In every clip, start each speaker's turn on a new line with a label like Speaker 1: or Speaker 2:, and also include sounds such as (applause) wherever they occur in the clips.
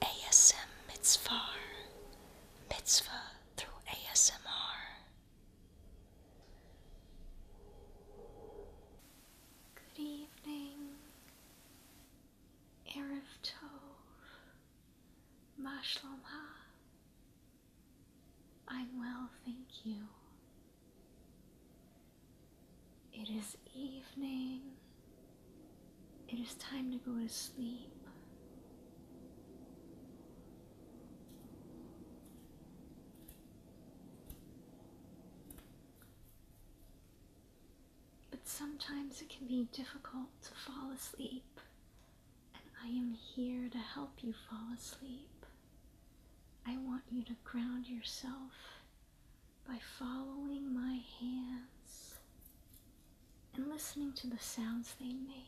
Speaker 1: ASM Mitzvah, Mitzvah through ASMR. Good evening, Erev Mashlama. I'm well, thank you. It is evening it is time to go to sleep. But sometimes it can be difficult to fall asleep, and I am here to help you fall asleep. I want you to ground yourself by following my hands and listening to the sounds they make.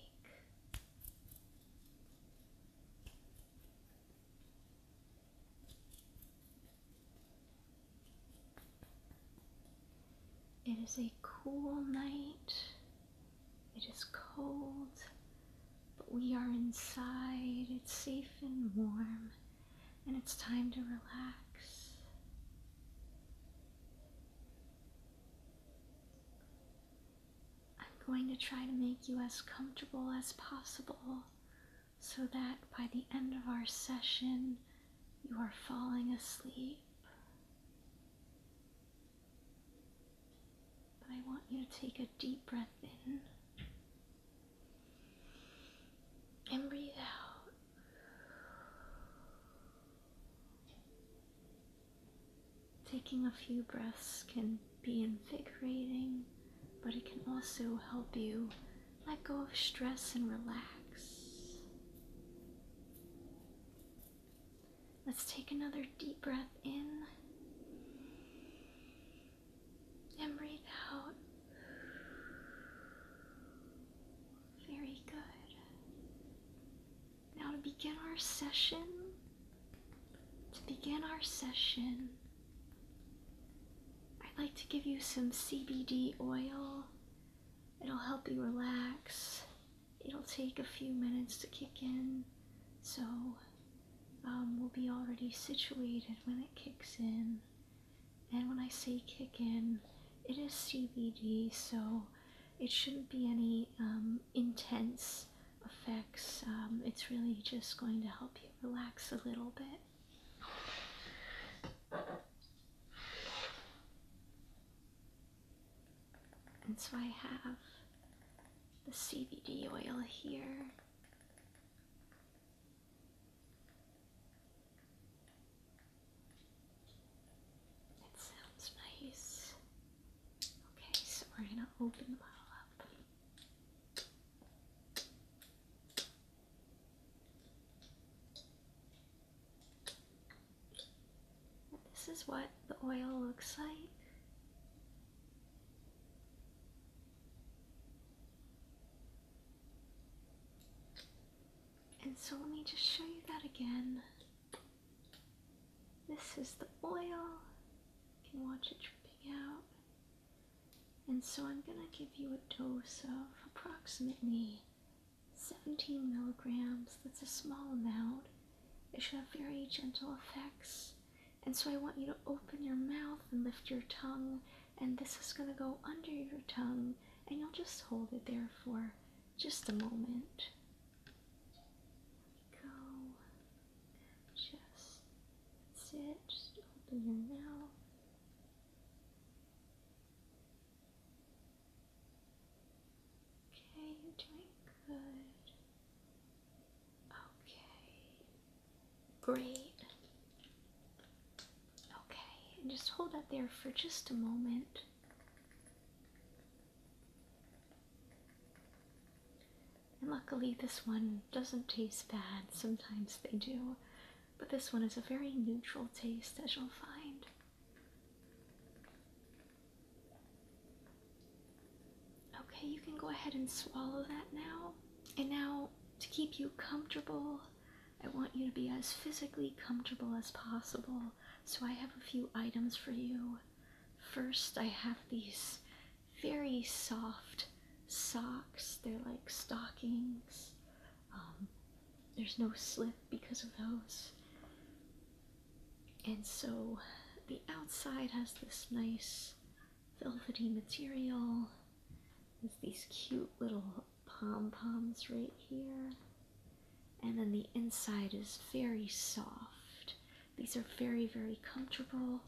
Speaker 1: It is a cool night. It is cold, but we are inside. It's safe and warm, and it's time to relax. I'm going to try to make you as comfortable as possible so that by the end of our session, you are falling asleep. But I want you to take a deep breath in and breathe out. Taking a few breaths can be invigorating, but it can also help you let go of stress and relax. Let's take another deep breath in and breathe out. Very good. Now to begin our session, to begin our session, I'd like to give you some CBD oil. It'll help you relax. It'll take a few minutes to kick in, so um, we'll be already situated when it kicks in. And when I say kick in, it is CBD, so it shouldn't be any um, intense effects. Um, it's really just going to help you relax a little bit. And so I have the CBD oil here. It sounds nice. Okay, so we're going to open the bottle up. This is what the oil looks like. And so let me just show you that again. This is the oil. You can watch it dripping out. And so I'm going to give you a dose of approximately 17 milligrams. That's a small amount. It should have very gentle effects. And so I want you to open your mouth and lift your tongue. And this is going to go under your tongue. And you'll just hold it there for just a moment. Go. Just that's Just open your mouth. Okay, you're doing good. Okay. Great. Okay, just hold that there for just a moment. And luckily, this one doesn't taste bad. Sometimes they do, but this one is a very neutral taste, as you'll find. Okay, you can go ahead and swallow that now. And now, to keep you comfortable, I want you to be as physically comfortable as possible. So I have a few items for you. First, I have these very soft socks. They're like stockings. Um, there's no slip because of those. And so the outside has this nice velvety material with these cute little pom poms right here. And then the inside is very soft. These are very, very comfortable.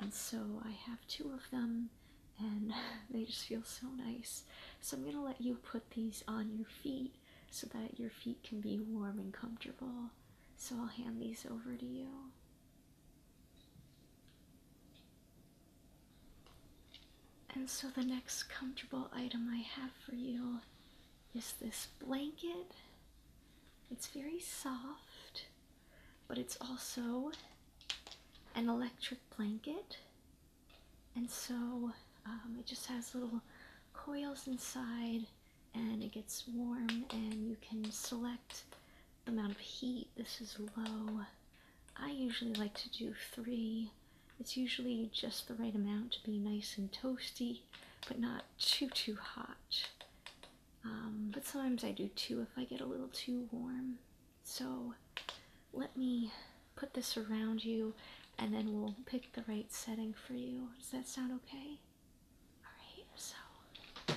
Speaker 1: And so I have two of them and (laughs) they just feel so nice. So I'm going to let you put these on your feet so that your feet can be warm and comfortable. So I'll hand these over to you. And so the next comfortable item I have for you is this blanket. It's very soft, but it's also an electric blanket. And so um, it just has little coils inside and it gets warm and you can select the amount of heat. This is low. I usually like to do three it's usually just the right amount to be nice and toasty, but not too, too hot. Um, but sometimes I do too if I get a little too warm. So let me put this around you and then we'll pick the right setting for you. Does that sound okay? Alright, so there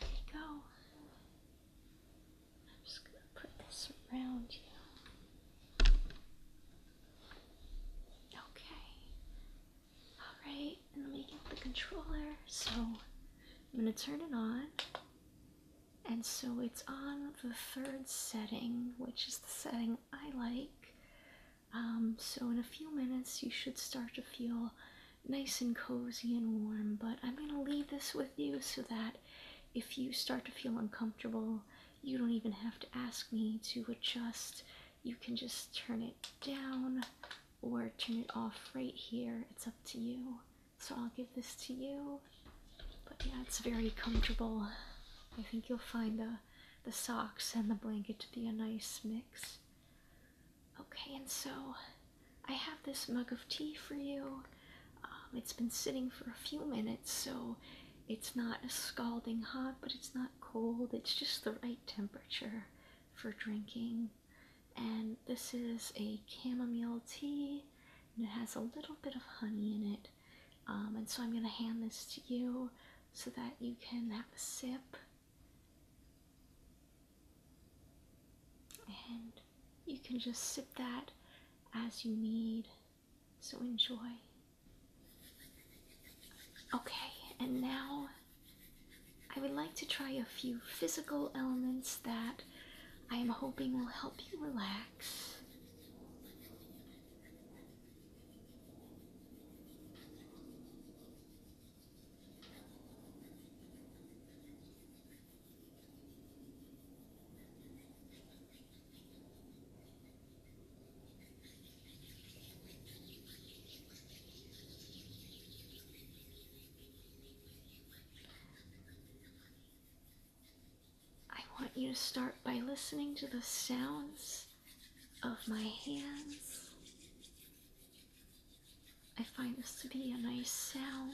Speaker 1: you go. I'm just gonna put this around you. Okay. Alright, and let me the controller. So I'm gonna turn it on. And so it's on the third setting, which is the setting I like. Um, so in a few minutes you should start to feel nice and cozy and warm, but I'm gonna leave this with you so that if you start to feel uncomfortable, you don't even have to ask me to adjust. You can just turn it down or turn it off right here. It's up to you. So I'll give this to you. But yeah, it's very comfortable. I think you'll find the the socks and the blanket to be a nice mix. Okay, and so I have this mug of tea for you. Um, it's been sitting for a few minutes, so it's not scalding hot, but it's not cold. It's just the right temperature for drinking. And this is a chamomile tea, it has a little bit of honey in it. Um, and so I'm going to hand this to you so that you can have a sip. And you can just sip that as you need. So enjoy. Okay, and now I would like to try a few physical elements that I am hoping will help you relax. I want you to start by listening to the sounds of my hands. I find this to be a nice sound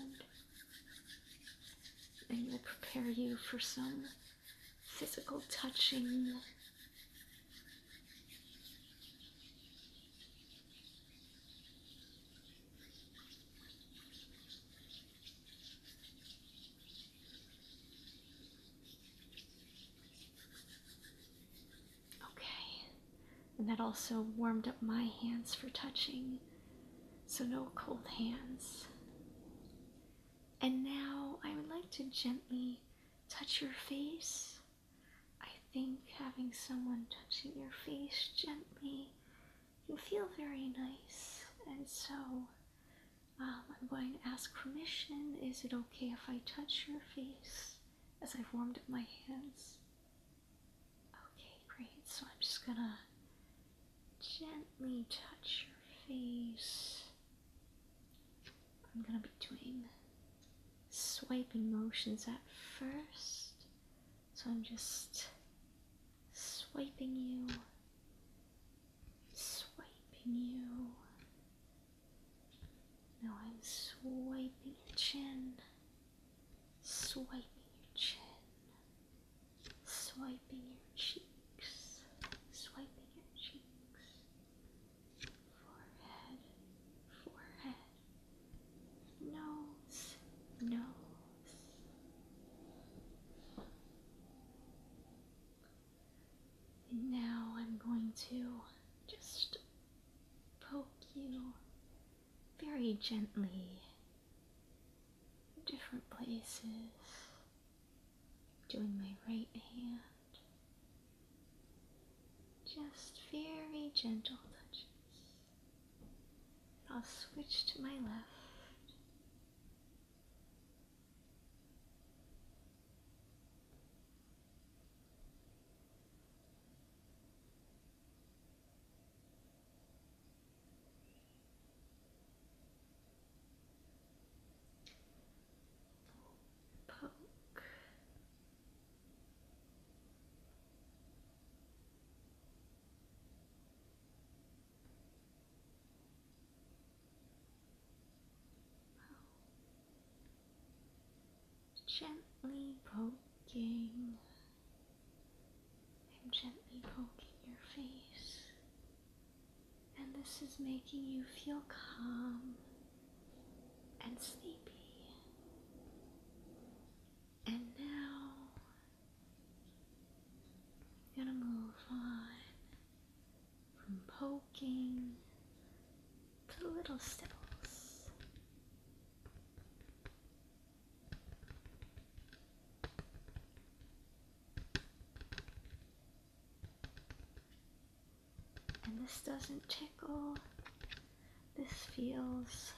Speaker 1: and will prepare you for some physical touching. Okay, and that also warmed up my hands for touching, so no cold hands. And now I would like to gently touch your face. I think having someone touching your face gently can feel very nice. And so um, I'm going to ask permission. Is it okay if I touch your face as I've warmed up my hands? Okay, great. So I'm just gonna gently touch your face. I'm going to be doing swiping motions at first. So I'm just swiping you, swiping you. Now I'm swiping your chin, swiping your chin, swiping your cheeks, swiping your cheeks forehead, forehead, nose, nose. now I'm going to just poke you very gently different places. Doing my right hand. Just very gentle touches. I'll switch to my left. Gently poking. I'm gently poking your face and this is making you feel calm and sleepy. And now you're going to move on from poking to little stills. And this doesn't tickle. This feels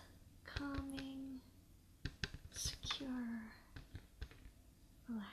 Speaker 1: calming, secure, relaxing.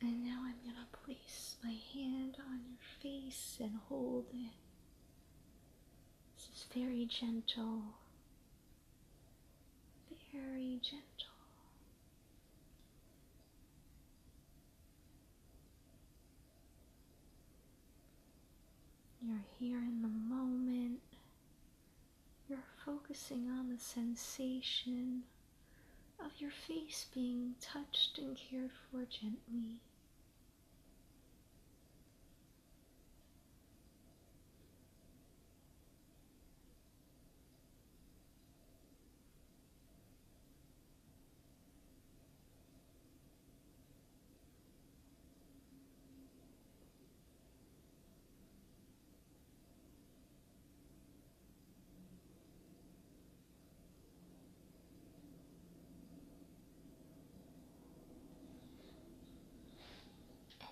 Speaker 1: And now I'm going to place my hand on your face and hold it. This is very gentle. Very gentle. You're here in the moment. You're focusing on the sensation of your face being touched and cared for gently.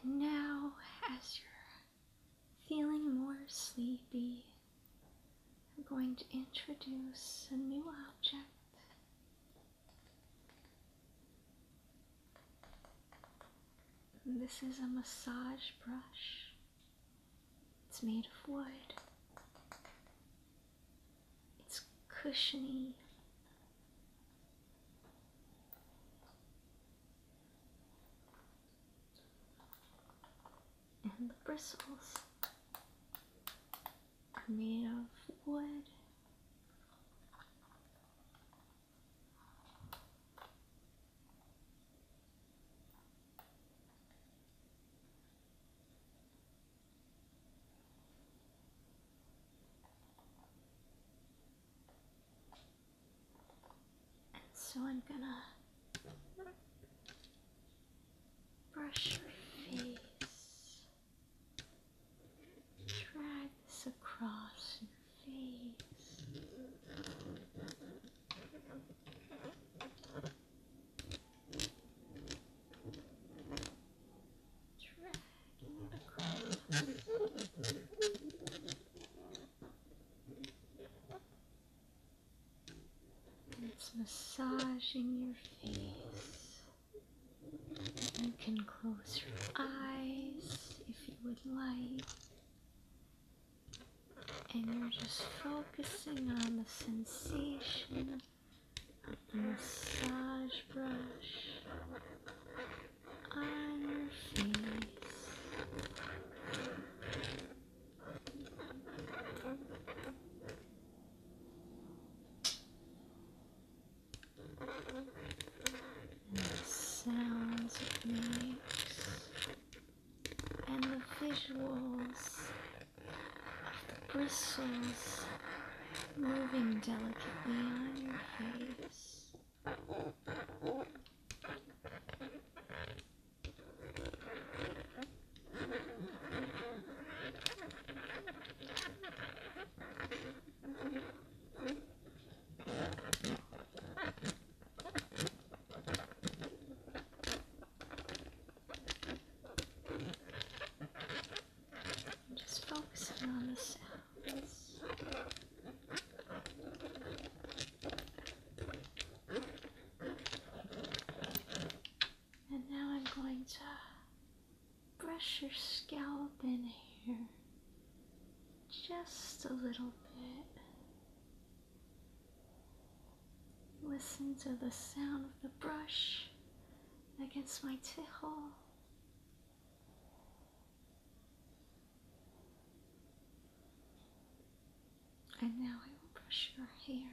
Speaker 1: And now, as you're feeling more sleepy, I'm going to introduce a new object. This is a massage brush. It's made of wood. It's cushiony. And the bristles are made of wood. So I'm gonna brush your face, drag this across your face. It's massaging your face. You can close your eyes if you would like and you're just focusing on the sensation of the massage brush on your face. And the sounds it makes and the visuals of the bristles moving delicately on your face. Just focusing on the sounds. And now I'm going to brush your scalp in here just a little bit. Listen to the sound of the brush against my tickle. And now I will brush your hair.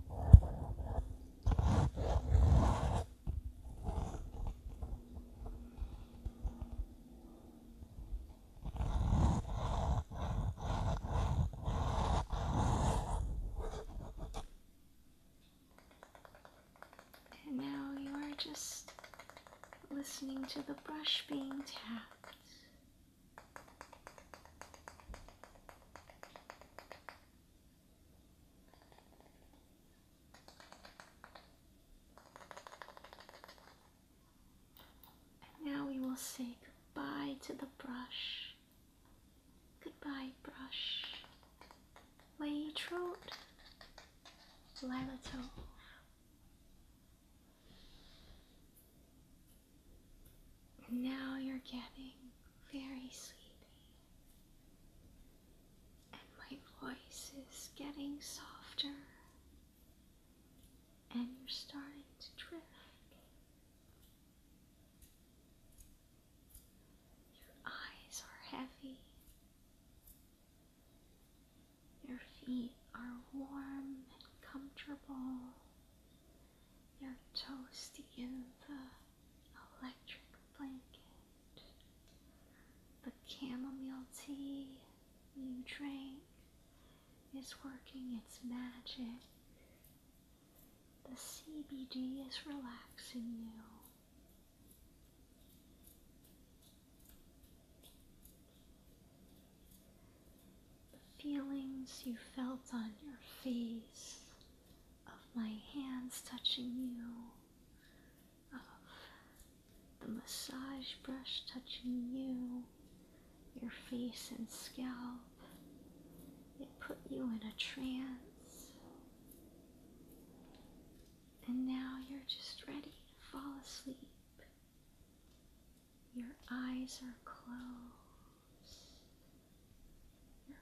Speaker 1: And now you are just listening to the brush being tapped and now we will say goodbye to the brush. Goodbye, brush. Lay trout, now you're getting very sleepy, and my voice is getting softer, and you're starting to drift. Your eyes are heavy, your feet are warm and comfortable. You're toasty in the electric blanket. The chamomile tea you drink is working its magic. The CBD is relaxing you. The feelings you felt on your face of my hands touching you, of the massage brush touching you, your face and scalp. It put you in a trance. And now you're just ready to fall asleep. Your eyes are closed. Your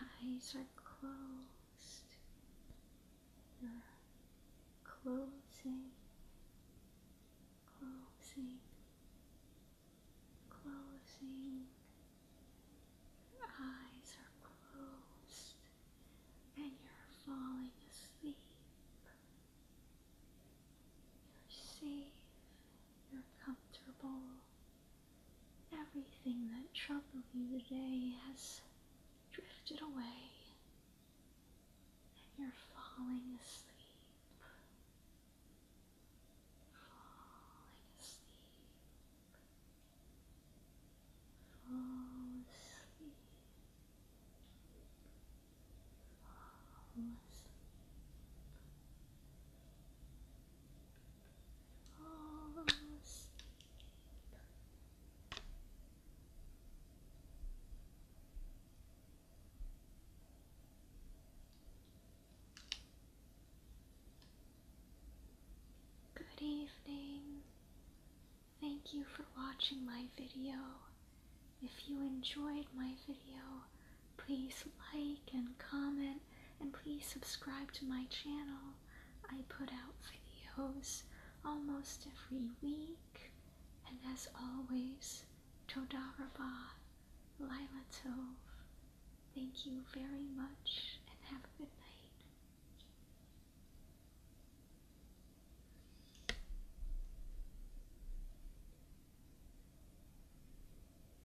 Speaker 1: eyes are closed. You're closing, closing, closing. Your eyes are closed and you're falling asleep. You're safe, you're comfortable. Everything that troubled you today has drifted away, and you're falling asleep. Falling asleep. Fall asleep. Fall asleep. Good evening. Thank you for watching my video. If you enjoyed my video, Please like and comment and please subscribe to my channel. I put out videos almost every week. And as always, Todaraba, Lila Tov. Thank you very much and have a good night.